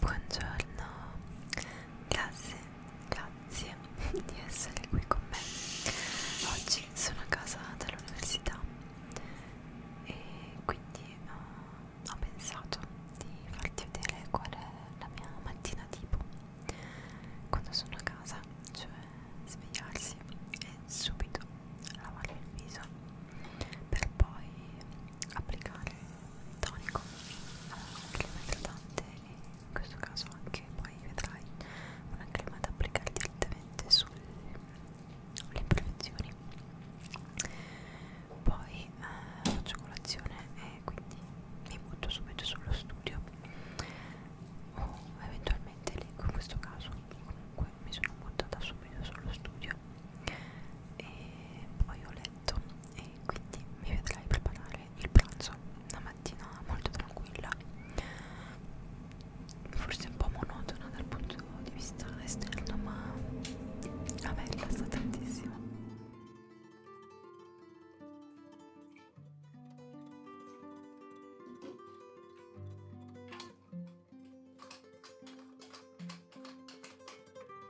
Buongiorno classe, grazie di essere qui con me. Oggi sono a casa dall'università e quindi uh, ho pensato di farti vedere qual è la mia mattina tipo quando sono a casa, cioè svegliarsi e subito lavare il viso per poi applicare tonico che è idratante e in questo caso anche poi vedrai una crema da applicare direttamente sulle imperfezioni poi eh, faccio colazione e quindi mi butto subito sullo studio o eventualmente leggo in questo caso comunque mi sono buttata subito sullo studio e poi ho letto e quindi mi vedrai preparare il pranzo una mattina molto tranquilla forse un po' monotona dal punto di vista esterno ma a me rilassa tantissimo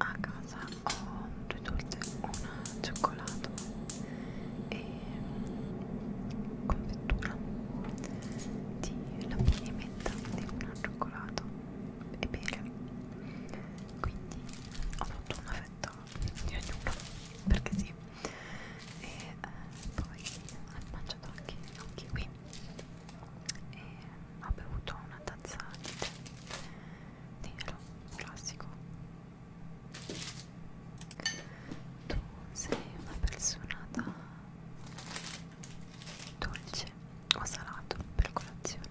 a casa ho due torte, una cioccolato e confettura di lamini e menta di una cioccolato e bere quindi ho fatto una fetta di ognuno perché sì e eh, poi ho mangiato anche, anche qui e ho bevuto una tazza di tè nero classico tu sei una persona da dolce o salato per colazione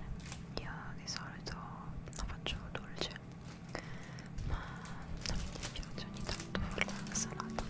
io di solito la faccio dolce ma non mi dispiace ogni tanto farla salata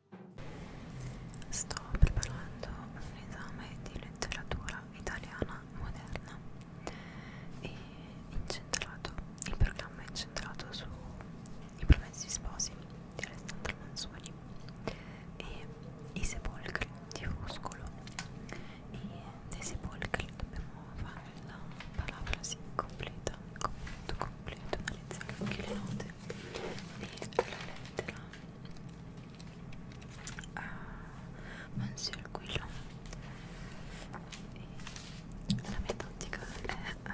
Sto preparando un esame di letteratura italiana moderna e incentrato, il programma è incentrato su I Promessi Sposi di Alessandro Manzoni e I Sepolcri di Fuscolo e dei Sepolcri dobbiamo fare la parafrasi completa, il commento completo, analizzare anche le note e la lettera a Monsieur Guillon e la mia tattica è uh,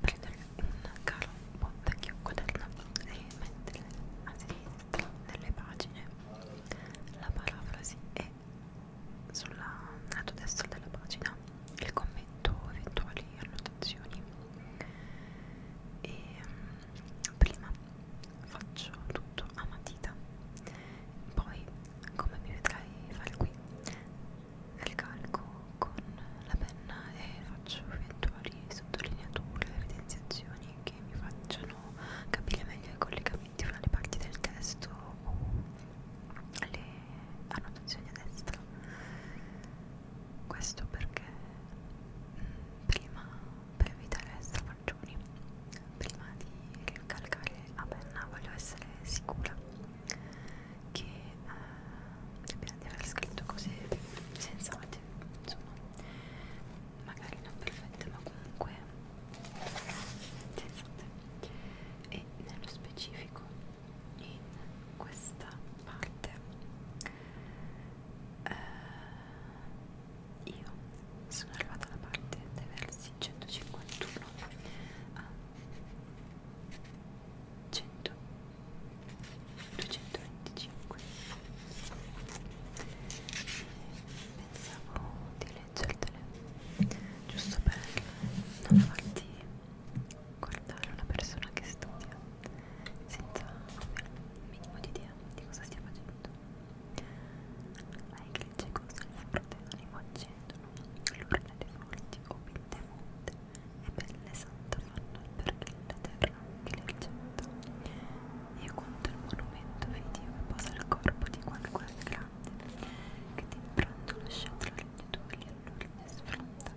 prendere un caro un po' vecchio quaderno e mettere a sinistra delle pagine la parafrasi e sul lato destro della pagina il commento, eventuali annotazioni e mm, prima faccio tutto a matita poi come mi vedrai fare qui ricalco con la penna e faccio eventuali sottolineature evidenziazioni che mi facciano capire meglio i collegamenti fra le parti del testo o le annotazioni a destra questo perché mm, prima per evitare strafaccioni prima di ricalcare a ah, penna voglio essere sicura che eh, di aver scritto cose sensate insomma magari non perfette ma comunque sensate e nello specifico in questa parte eh, io sono arrivata alla parte dei versi 151 a 100 225 pensavo di leggertele giusto per non farti guardare una persona che studia senza avere un minimo di idea di cosa stia facendo. Lei che legge cose al forte animo accendono, l'urne dei forti o pinte fonte, e belle santa fanno perché la terra che le ricetta. Io conto il monumento vedi che posa il corpo di qualcuno grande, che ti impronto lasciato la legnatura bello che mi sfrutta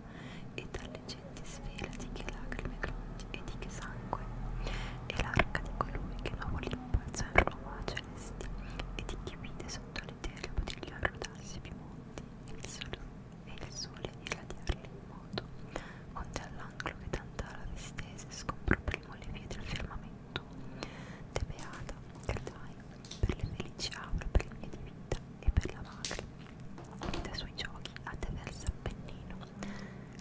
e dalle genti svela di che lacrime grondi e di che sangue e l'arca di colui che nuovo l'impulso in Roma celesti e di chi vide sotto l'eterio potigliare rodarsi più monti e il sole e il sole irradiarli in moto onde all'angolo che tanta la vistese scompro primo le vie del firmamento te beata credai per le felici aure, per le mie di vita e per la madre, e dai suoi giochi attraversa Appennino,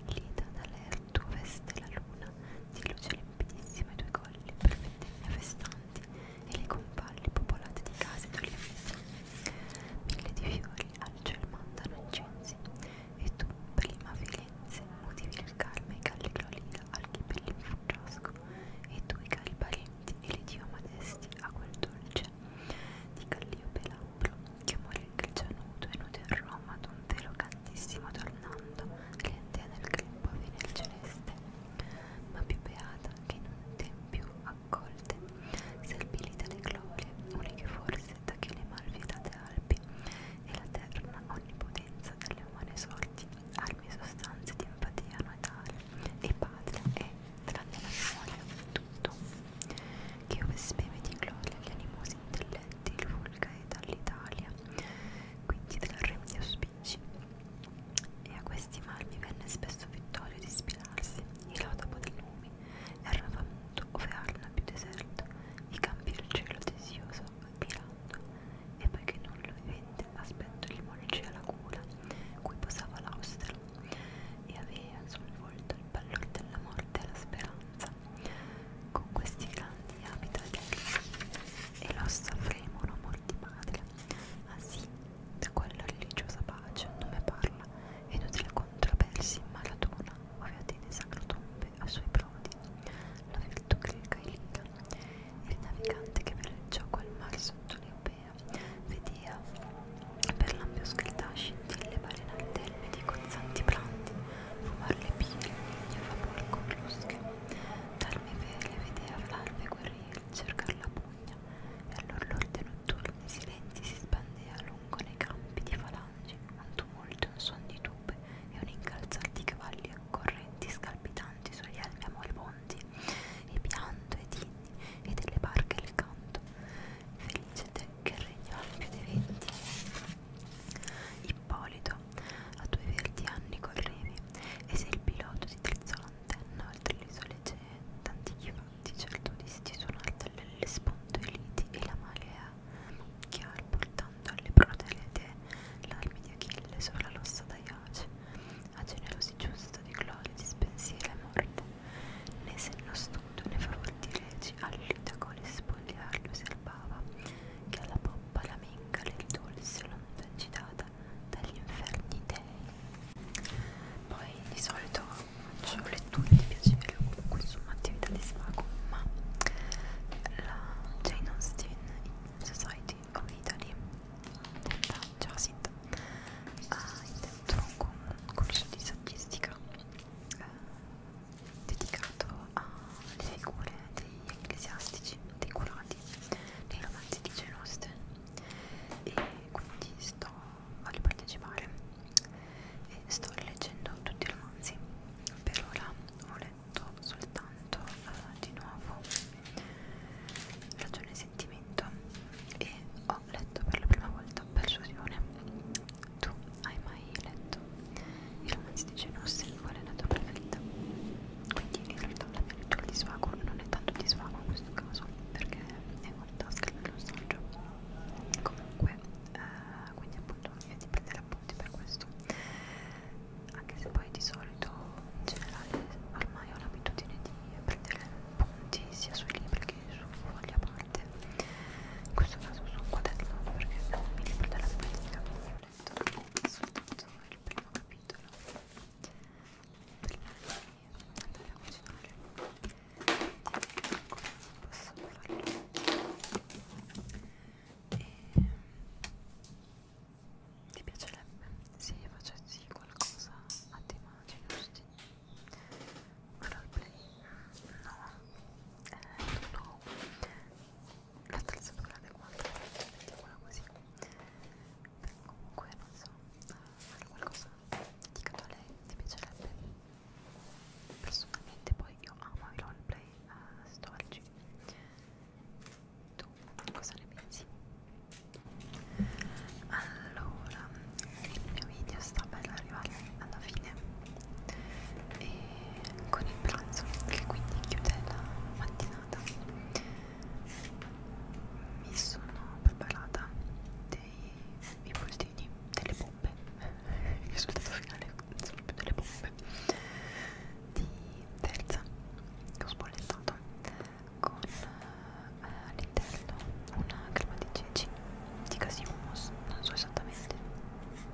lieta dall'erto veste la luna, di luce limpidissima i tuoi colli, per vendemmia festanti, e le compagli popolate di case ed olivetti, mille di fiori al ciel mandano incensi, e tu, prima Firenze, motivi il carme e calli glorira al chi per l'infugiasco, e tu i cari pari santi e li dio modesti a quel dolce di Callio Pelambro che morì il grigianuto e nudo in Roma ad un velo cantissimo tornando clientea nel grembo venne il celeste ma più beata che in un tempio accolte serbilita le glorie uniche forse da che le malvietate albi e la terna onnipotenza delle umane sorti armi sostanze di empatia natale e patria e tranne la memoria tutto che ove speme di gloria gli animosi intelletti il vulga e dall'Italia quindi del re di auspici e a questi marmi venne spesso Vittorio di ispirarsi il lodopo dei lumi era famuto ove Arna più deserto i campi del cielo desioso aspirando e poiché non lo vivente dell'aspetto limoniceo alla gola cui posava l'austero e aveva sul volto il pallor della morte e la speranza con questi grandi abiti e l'ossa fremono amor di madre ah sì, da quella religiosa pace non me parla e nutri la controversi in maratona ovviate di sacrotombe a suoi prodi la virtù greca e lirica il navigante che per il gioco al mar sotto le europea, vedea, eh, per l'ampio scaldà scintille balenate elme di cozzanti brandi, fumar le pile, il vapore con rusche, darmi vele, vedea l'alve guerriere, cercar la pugna, e all'orlorde notturni silenti si spandea lungo nei campi di falangi, un tumulto, un suon di tube e un incalzar di cavalli accorrenti scalpitanti sugli elmi amoribondi, e pianto e tinto e delle barche il canto. Felice te che regna più dei venti. Ippolito, a due verdi anni correvi, e se il pilota ti drizzò l'antenna oltre le isole cee, d'antichi fatti certo disti suonare dalle spondoeliti e la malea, chiaro portando alle prode le tee l'armi di Achille sopra l'ossa d'Aiace, a generosi giusto di glorici spensieri e morte, né se non studo ne favorti reci all'itacone spogliarlo si albava, che alla poppa la minca del dolce lontangitata dagli inferni dei. Poi di solito faccio letture di piacere o comunque insomma attività di svago, ma la Jane Austen in Society of Italy detta Jacint ha ah, introdotto un corso di saggistica eh, dedicato alle figure degli ecclesiastici, dei curati, dei romanzi di Genuste e quindi sto, voglio partecipare e sto leggendo tutti i romanzi per ora ho letto soltanto eh, di nuovo ragione e sentimento e ho letto per la prima volta Persuasione. Tu hai mai letto i romanzi di Jane Austen? Qual è la tua preferita? Quindi in realtà la mia lettura di svago non è tanto di svago in questo caso perché è molto scrivere lo saggio. Comunque, eh, quindi appunto è di prendere appunti per questo. Anche se poi di solito in generale ormai ho l'abitudine di prendere punti sia sui libri che su fogli a parte in questo caso su un quaderno perché il libro della politica ho letto soltanto il primo capitolo prima di andare a cucinare come posso farlo e ti piacerebbe se io facessi qualcosa a tema giusti? Roleplay? No, eh, no, la attrezzatura adeguata, mettiamola così. Però comunque non so, eh, fare qualcosa dedicato a lei ti piacerebbe? Personalmente poi io amo i roleplay eh, storici tu cosa ne pensi? Allora, il mio video sta per arrivare alla fine e con il pranzo che quindi chiude la mattinata mi sono preparata dei impulsini, delle bombe il risultato finale sono più delle bombe di terza che ho spollettato con eh, all'interno una crema di ceci di casi hummus, non so esattamente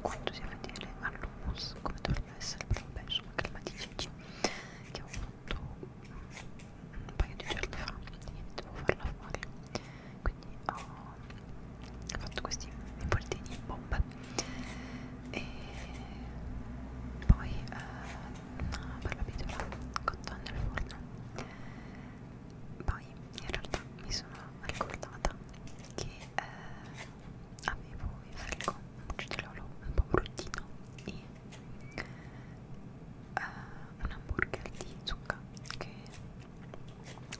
quanto sia fedele all'hummus come dovrebbe essere, però vabbè insomma crema di ceci che ho fatto un paio di giorni fa e devo farla fuori quindi ho fatto questi involtini in bombe e poi eh, una barbabietola cotta nel forno poi in realtà mi sono ricordata che eh, avevo in frigo un cucciololo un po' bruttino e eh, un hamburger di zucca che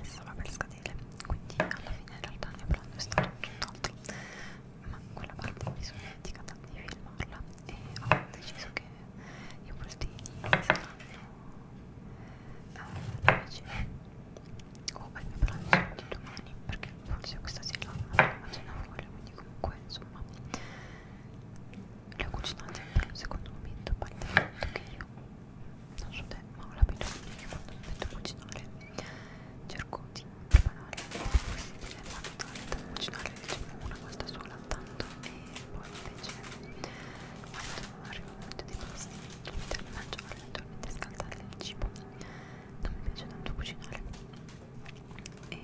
stava per scadere quindi alla fine in realtà ne prendo è stato tutt'altro ma quella parte mi sono dimenticata di filmarla e ho deciso che i postini saranno alla mia o al mio pranzo di domani perché forse questa sera la cena fuori quindi comunque insomma le ho cucinate per un secondo momento a parte il fatto che io non so te ma ho l'abitudine che quando mi metto a cucinare cerco di di banale possibile quando dovete cucinare diciamo una volta sola tanto e poi invece quando arriva un momento di pasti dovete mangiare naturalmente scaldare il cibo non mi piace tanto cucinare e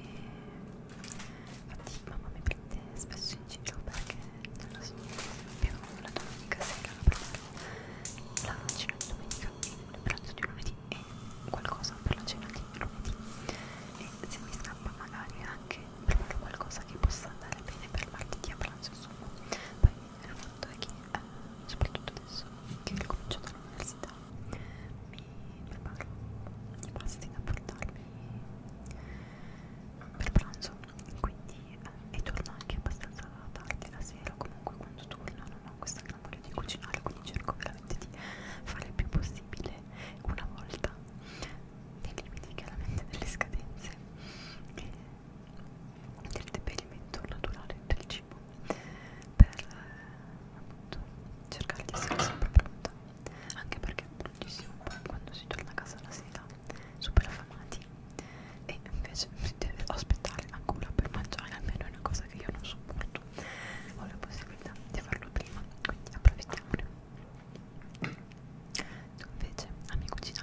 infatti mamma mi prende spesso in giro perché non lo so più la domenica sera la prendo la cena di domenica e il pranzo di lunedì e qualcosa per la cena di lunedì e se mi scappa magari anche proprio qualcosa che possa andare bene per martedì a pranzo insomma poi il fatto è che eh, soprattutto adesso che ho cominciato l'università mi preparo i pasti da portarmi per pranzo quindi eh, e torno anche abbastanza tardi la sera comunque quando torno non ho questa grande bisogno di cucinare quindi cerco veramente di fare il più possibile una volta nei limiti chiaramente delle scadenze e del deperimento naturale del cibo per eh, appunto cercare di essere sempre pronta anche perché bruttissimo poi quando si torna a casa la sera super affamati e invece si deve aspettare ancora per mangiare almeno è una cosa che io non sopporto tutto ho la possibilità di farlo prima quindi approfittiamone tu invece ami cucinare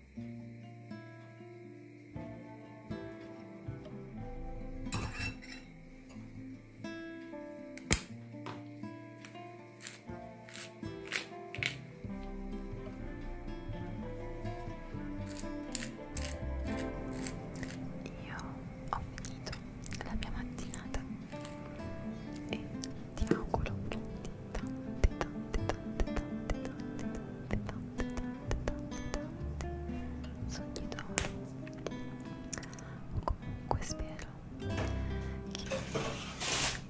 Io ho finito la mia mattinata e ti auguro che tante tante tante tante tante tante tante tante tanti tanti tanti sogni d'oro o comunque spero che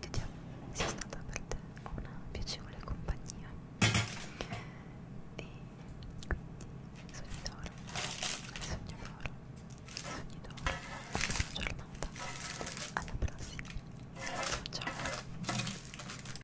vediamo sia stata per te una piacevole compagnia e quindi sogni d'oro sogni d'oro sogni d'oro buona giornata alla prossima ciao